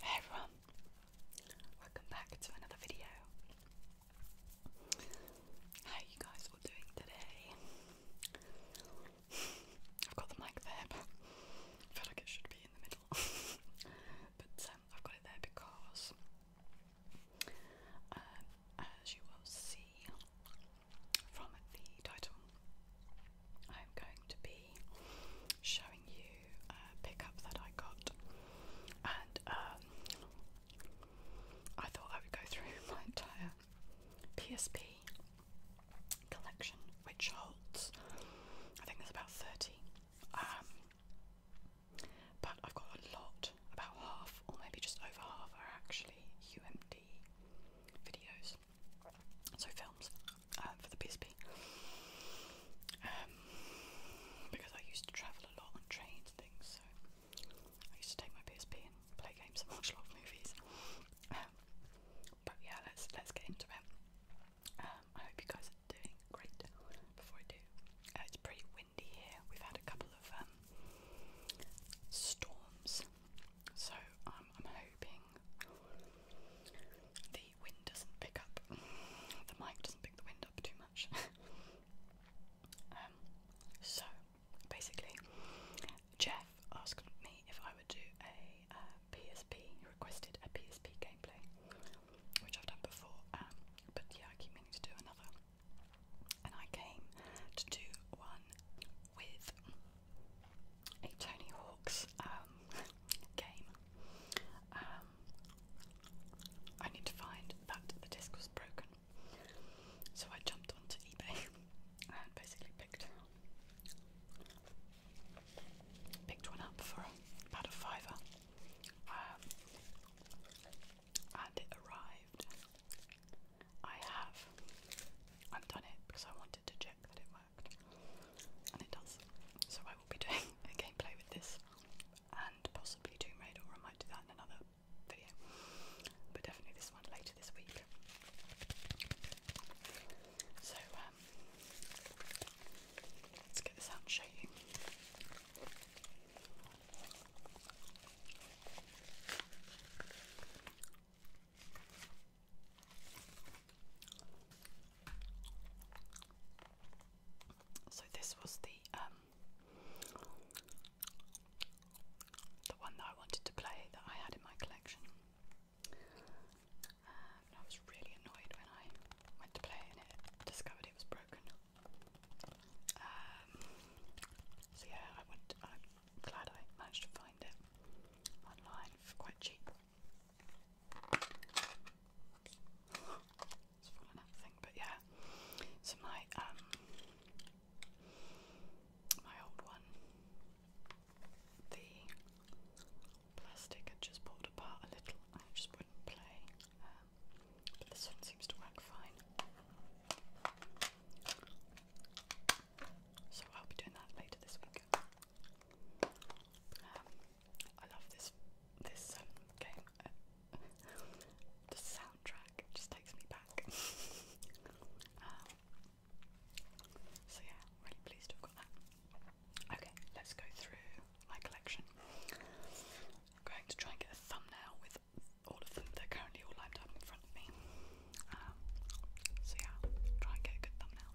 Hey everyone, welcome back to another video. How you guys all doing today? I've got the mic there, but I feel like it should be in the middle. but um, I've got it there because, um, as you will see, from the title, I'm going to be showing you a pickup that I got, and um, I thought I would go through my entire PSP collection, which holds, I think there's about 30. Um, but I've got a lot, about half, or maybe just over half, are actually UMD videos so films uh, for the PSP. Um, because I used to travel a lot on trains and things, so I used to take my PSP and play games and watch a lot of movies. Um, but yeah, let's let's get into it. Um, I hope you guys are doing great. Before I do, uh, it's pretty windy here. We've had a couple of storms so um, I'm hoping the wind doesn't pick up, the mic doesn't pick the wind up too much. Um, so basically, Jeff asked me if I would do a PSP, uh, he requested a PSP gameplay, which I've done before, um, but yeah, I keep meaning to do another. And I came to do one with a Tony Hawk's um, game. Um, I need to find that the disc was broken, so I jumped onto eBay and basically picked picked one up for about a fiver, um, and it arrived I have undone it because I wanted to check that it worked, and it does. So I will be doing a gameplay with this, and possibly Tomb Raider, or I might do that in another video, but definitely this one later this week. So um, let's get this out show you. So this was the um, the one that I wanted to play that I had in my collection. Um, I was really annoyed when I went to play and it discovered it was broken. Um, so yeah, I went glad I managed to find it online for quite cheap. It's fallen out thing, but yeah. So my um my old one, the plastic had just pulled apart a little. I just wouldn't play, um, this one seems to work fine. So I'll be doing that later this week. Um, I love this this um, game. the soundtrack just takes me back. Um, so yeah, really pleased to have got that. Okay, let's go through my collection. I'm going to try and get a thumbnail with all of them. They're currently all lined up in front of me. Um, so yeah, i try and get a good thumbnail.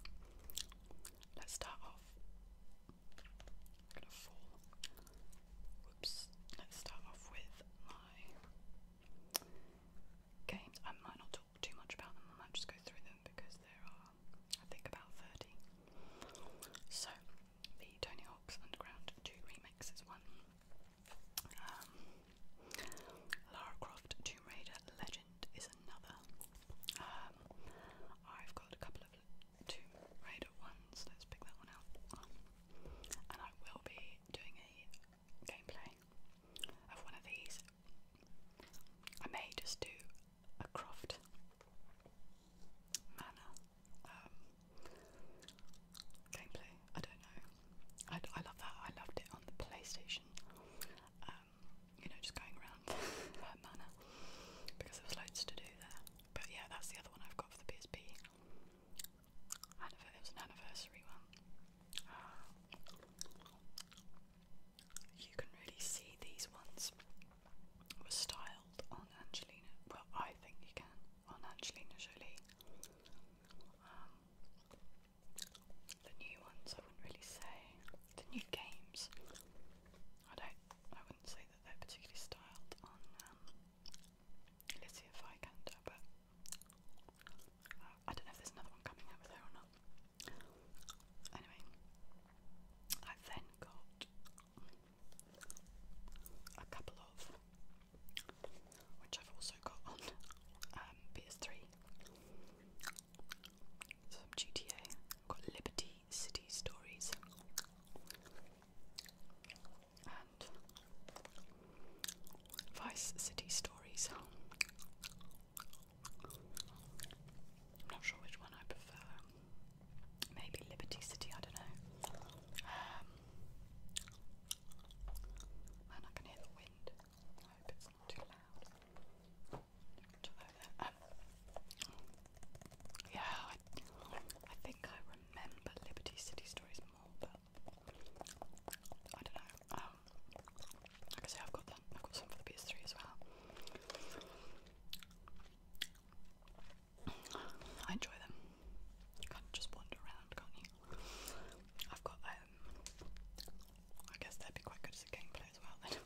Let's start off. I'm gonna fall. Whoops. Let's start off with my games. I might not talk too much about them. I might just go through them because there are, I think, about thirty. So the Tony Hawk's Underground Two Remix is one. Um, Lara Croft Tomb Raider Legend is another. Um, I've got a couple of Tomb Raider ones. Let's pick that one out. and I will be doing a gameplay of one of these. I may just do a Croft Manor um, gameplay. I don't know. I, I love that. I loved it on the PlayStation. Um, you know, just going around her manor because there was loads to do there. But yeah, that's the other one I've got for the PSP. It was an anniversary one. You can really see these ones were styled on Angelina. Well, I think you can on Angelina Jolie. Um, the new ones, I wouldn't really say. The new games, I don't. I wouldn't say that they're particularly styled on um, Alicia but uh, I don't know if there's another one coming over there or not. Anyway, i then got a couple of which I've also got on um, PS3. Some GTA. I've got Liberty City Stories. And Vice City Stories. I'm not sure which one I prefer. Maybe Liberty City, I don't know. Um, and I can hear the wind. I hope it's not too loud. yeah, I, think I remember Liberty City stories more, but I don't know. Um, like I say, I've got that. I've got some for the PS3 as well. I enjoy them. You can just wander around, can't you? I've got um I guess that'd be quite good as a gameplay as well then.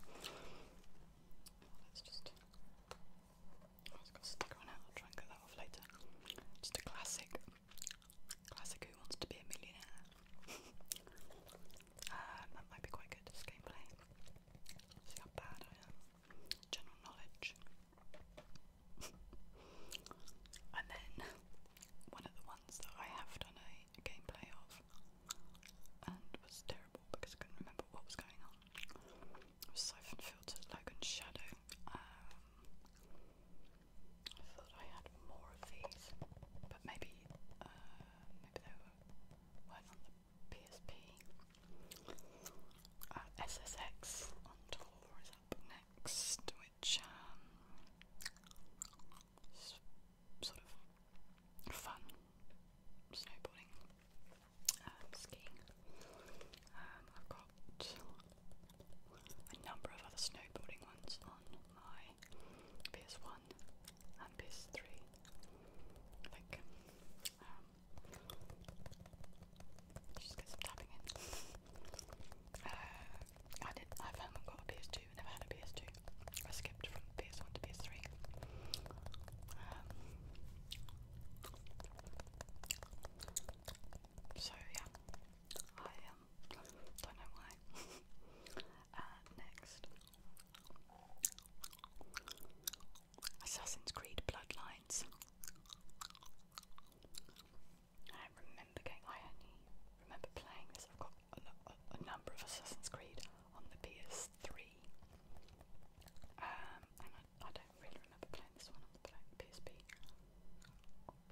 Let's just oh, it got sticker on it, I'll try and get that off later. Just classic classic who wants to be a millionaire. um, that might be quite good as gameplay. See General knowledge and then one of the ones that I have done a gameplay of and was terrible because I couldn't remember what was going on Siphon Filter Logan's Shadow. Um, I thought I had more of these, but maybe uh, maybe they were, weren't on the PSP. Uh, SSX on tour is up next, which um, sort of fun snowboarding, um, skiing. Um, I've got a number of other snowboarding ones on my PS1 and PS3. I um, I'm tapping in. Uh, I did. I haven't got a PS2. Never had a PS2. I skipped from PS1 to PS3. Um, so yeah, I um, don't know why. Uh, next. Assassin's Creed Bloodlines. I remember getting, I only remember playing this, I've got a, number of Assassin's Creed on the PS3 um, I don't really remember playing this one on the PSP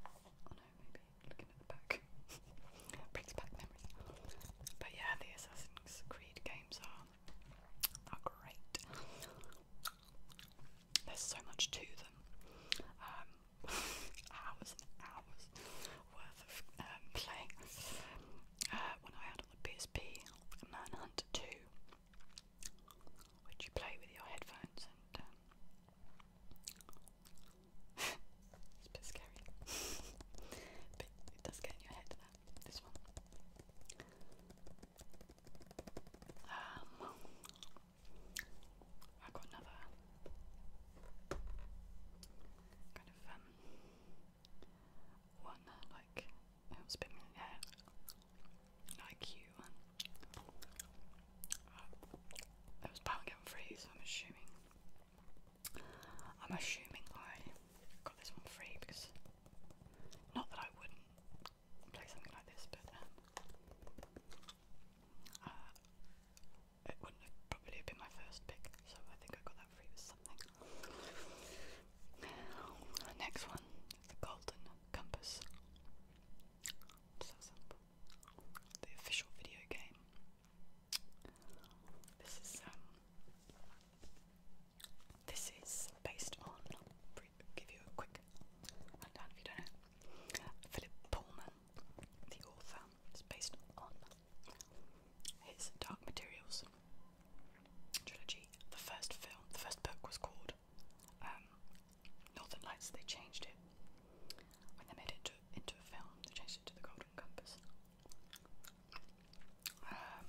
oh no, maybe looking at the back brings back memories but yeah, the Assassin's Creed games are are great there's so much to them. Um, hours and hours worth of um, uh, when I had on the PSP, Manhunt 2, which you play with your headphones and. Um, it's a bit scary. but it does get in your head, this one. Um, I got another kind of um one like it was a bit yeah, like one. Uh, it was pound and free, so I'm assuming. I'm assuming I got this one free because not that I wouldn't play something like this, but um, uh, it wouldn't probably have been my first pick, so I think I got that free with something. next one the Golden Compass. So The official video game. This is um, this is based on, give you a quick rundown if you don't know. Philip Pullman, the author, is based on his Dark Materials trilogy. The first film, the first book was called um, Northern Lights. They changed it when they made it to, into a film. They changed it to The Golden Compass. Um,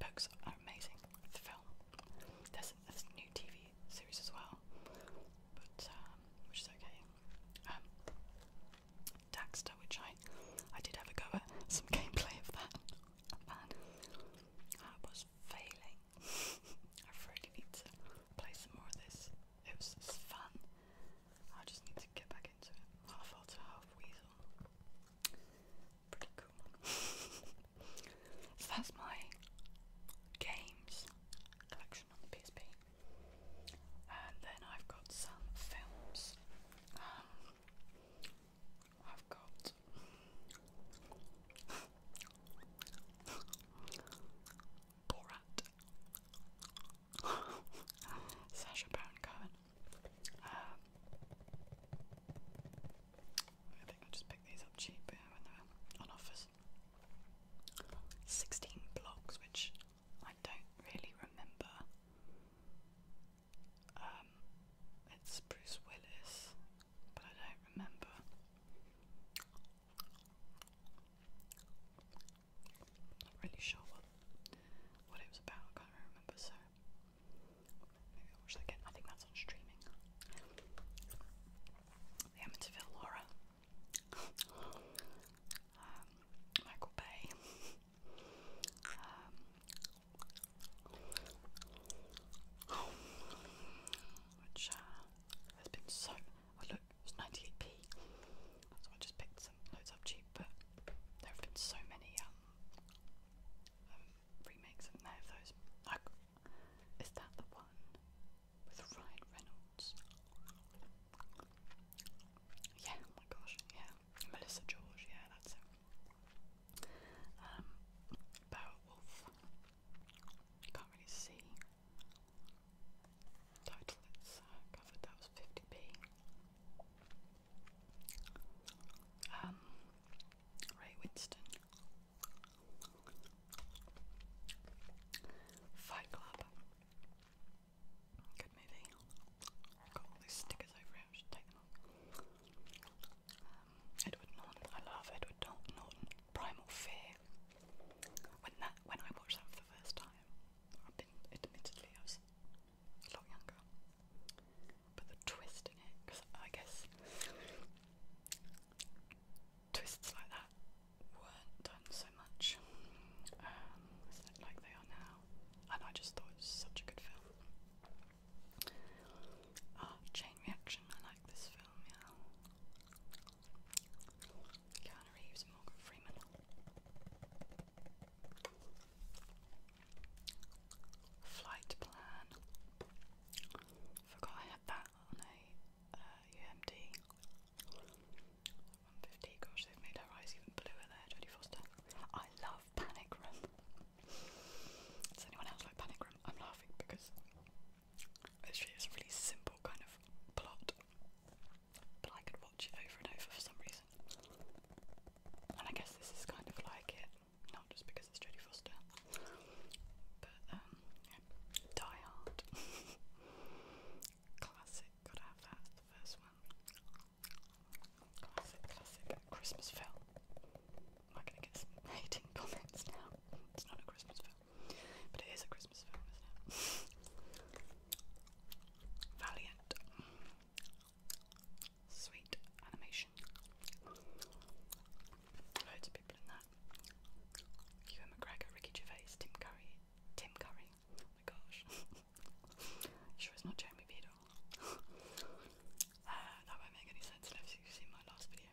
books are amazing. The film, there's, a new TV series as well, but um, which is okay. Um, Daxter, which I I did have a go at some gameplay of that. Man, I was failing. I really need to play some more of this. It was fun. I just need to get back into it. Half otter, half weasel pretty cool. so that's my games collection on the PSP. And then I've got some films. Um, I've got. Borat. Sasha Baron Cohen. I think I just picked these up cheap on offers. 16 blocks, which I don't really remember. Um, it's Bruce Willis, but I don't remember. Not really sure what what it was about. can't remember. So Maybe I'll watch again. I think that's on streaming. The Amityville Laura. Um, Michael Bay. Um, which uh, has been so. Oh look, it's 98p. So I just picked some loads up cheap, but there have been so many um, remakes of those. I, is that the one with Ryan Reynolds? Yeah, oh my gosh, yeah. Melissa George, yeah, that's it. Um, Beowulf. can't really see. Title it's uh, covered, that was 50p. Um, Ray Winston. Fight Club. Good movie. Got all these stickers over it, take them off. Um, Edward Norton. I love Edward Norton. Primal Fear. When that when I watched that for the first time, I've been admittedly I a lot younger. But the twist in it, because I guess twists like that weren't done so much, um, like they are now. And I just thought it was such a good film. Ah, Chain Reaction, I like this film, yeah. Keanu Reeves Morgan Freeman flight plan. Forgot I had that on a UMD. Uh, 150, gosh, they've made her eyes even bluer there, Jodie Foster. I love Panic Room. Does anyone else like Panic Room? I'm laughing because actually it's a really simple kind of plot, but I could watch it over and over for some reason. And I guess this is kind of like it, not just because it's Jodie Foster, but um, Die Hard. classic, gotta have that, first one. Classic, classic Christmas film. Am I going hating comments now? It's not a Christmas film, but it is a Christmas film, is Valiant sweet animation. Loads of people in that. Ewan McGregor, Ricky Gervais, Tim Curry. Tim Curry. Oh my gosh. sure it's not Jeremy Beadle. Uh, that won't make any sense unless you've seen my last video.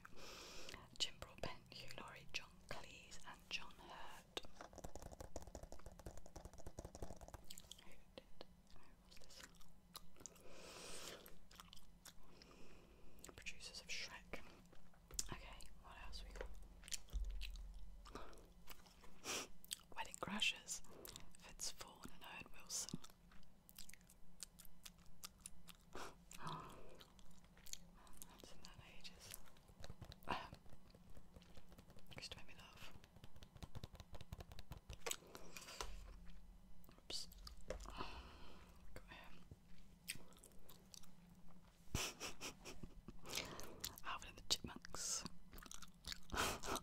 Jim Broadbent, Hugh Laurie, John Cleese, and John Hurt. Producers of Shrek. Okay, what else we got? Wedding Crashes. It's Fawn and Owen Wilson. Man, that's in that ages. Just made me laugh. Oops. Oh, got him. Alvin the Chipmunks. With um,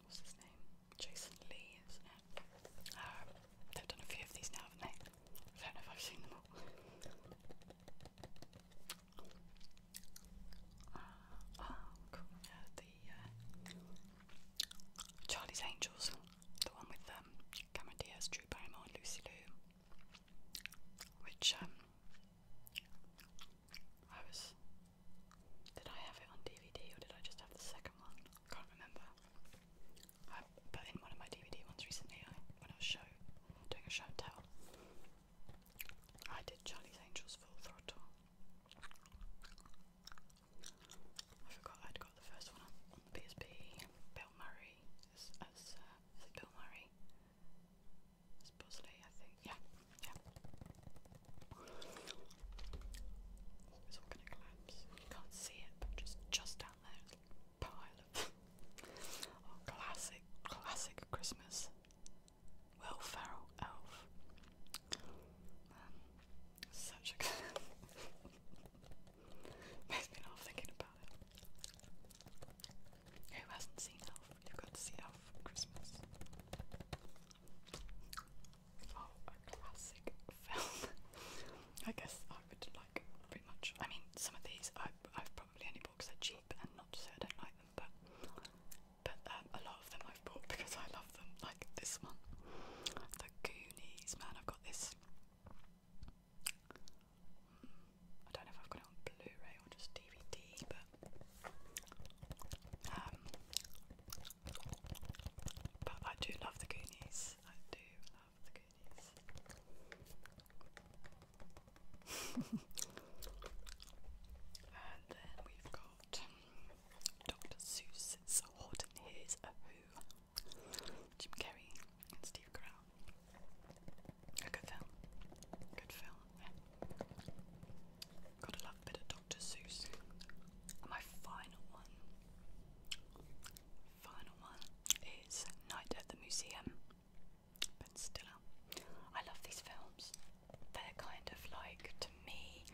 what's his name? Jason Lee, isn't it? Uh, they've done a few of these now, haven't they? Uh, oh, uh, Charlie's Angels, the one with um, Cameron Diaz, Drew Barrymore, and Lucy Liu, which um, I was. Did I have it on DVD or did I just have the second one? can't remember. I in one of my DVD ones recently I, when I was show, doing a show and tell. I did Charlie's Angels Full Throttle. I forgot I'd got the first one on Bill Murray as, as uh, Bill Murray? As I think. Yeah, yeah. It's all gonna collapse. You can't see it, but just just down that classic, classic Christmas. Will Ferrell Elf. such a Makes me laugh thinking about it. Who hasn't seen Elf? You've got to see Elf for Christmas. Oh, a classic film. I guess like pretty much. I mean, some of these I, I've probably only bought because they're cheap, and not so I don't like them, but but um, a lot of them I've bought because I love them. Like this one, the Goonies. Man, I've got this. Mm, I don't know if I've got it on Blu-ray or just DVD, but um, but I do love the Goonies. I do love and then we've got Dr. Seuss's Horton Hears a Who, Jim Carrey and Steve Carell. A good film. Good film. Gotta love a bit of Dr. Seuss. And my final one final one is Night at the Museum. But still, I love these films. They're kind of like to me,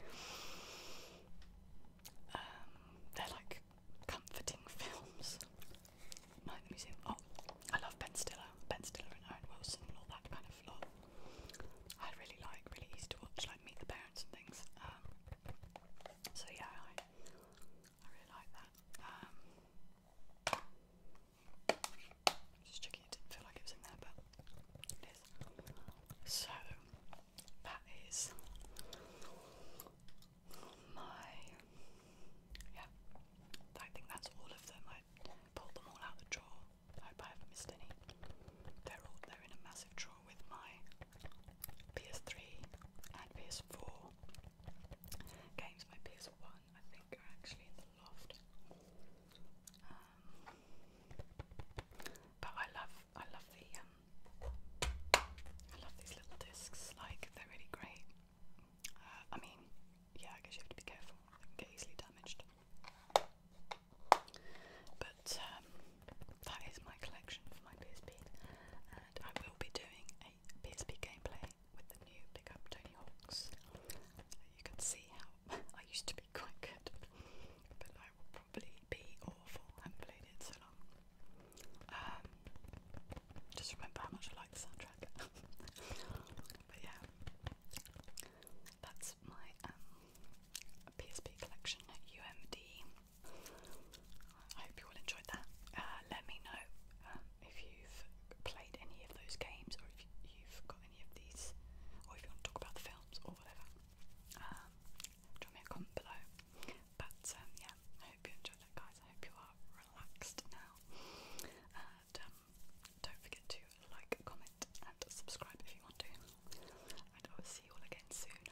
um, they're like comforting films. Night at the Museum. Oh, I love Ben Stiller, Ben Stiller and Owen Wilson and all that kind of lot. I really like, really easy to watch, like Meet the Parents and things. Um, so yeah, I, I really like that. just checking didn't feel like it was in there, but it is. So that is my yeah. I think that's all of them. I pulled them all out the drawer. hope I haven't missed any. They're all they're in a massive drawer with my PS3 and PS4 games. My PS1, I think, are actually in the loft. Um, but I love, I love the, um, I love these little discs. Like they're really great. Uh, I mean, yeah, I guess you have to be careful. They can get easily damaged. But um, that is my collection for my PSP, and I will be doing PSP gameplay with the new pickup Tony Hawks. You can see how I used to be quite good, but I will probably be awful. I haven't played it so long. Um, just remember how much I like the soundtrack. but yeah, that's my um, PSP collection at UMD. I hope you all enjoyed that. Uh, let me know um, if you've played any of those games or if you've got any of these, or if you want to talk about the films or whatever. Um, drop me a comment below. But um, yeah, I hope you enjoyed that, guys. I hope you are relaxed now. don't forget to like, comment, and subscribe if you want to. And I will see you all again soon.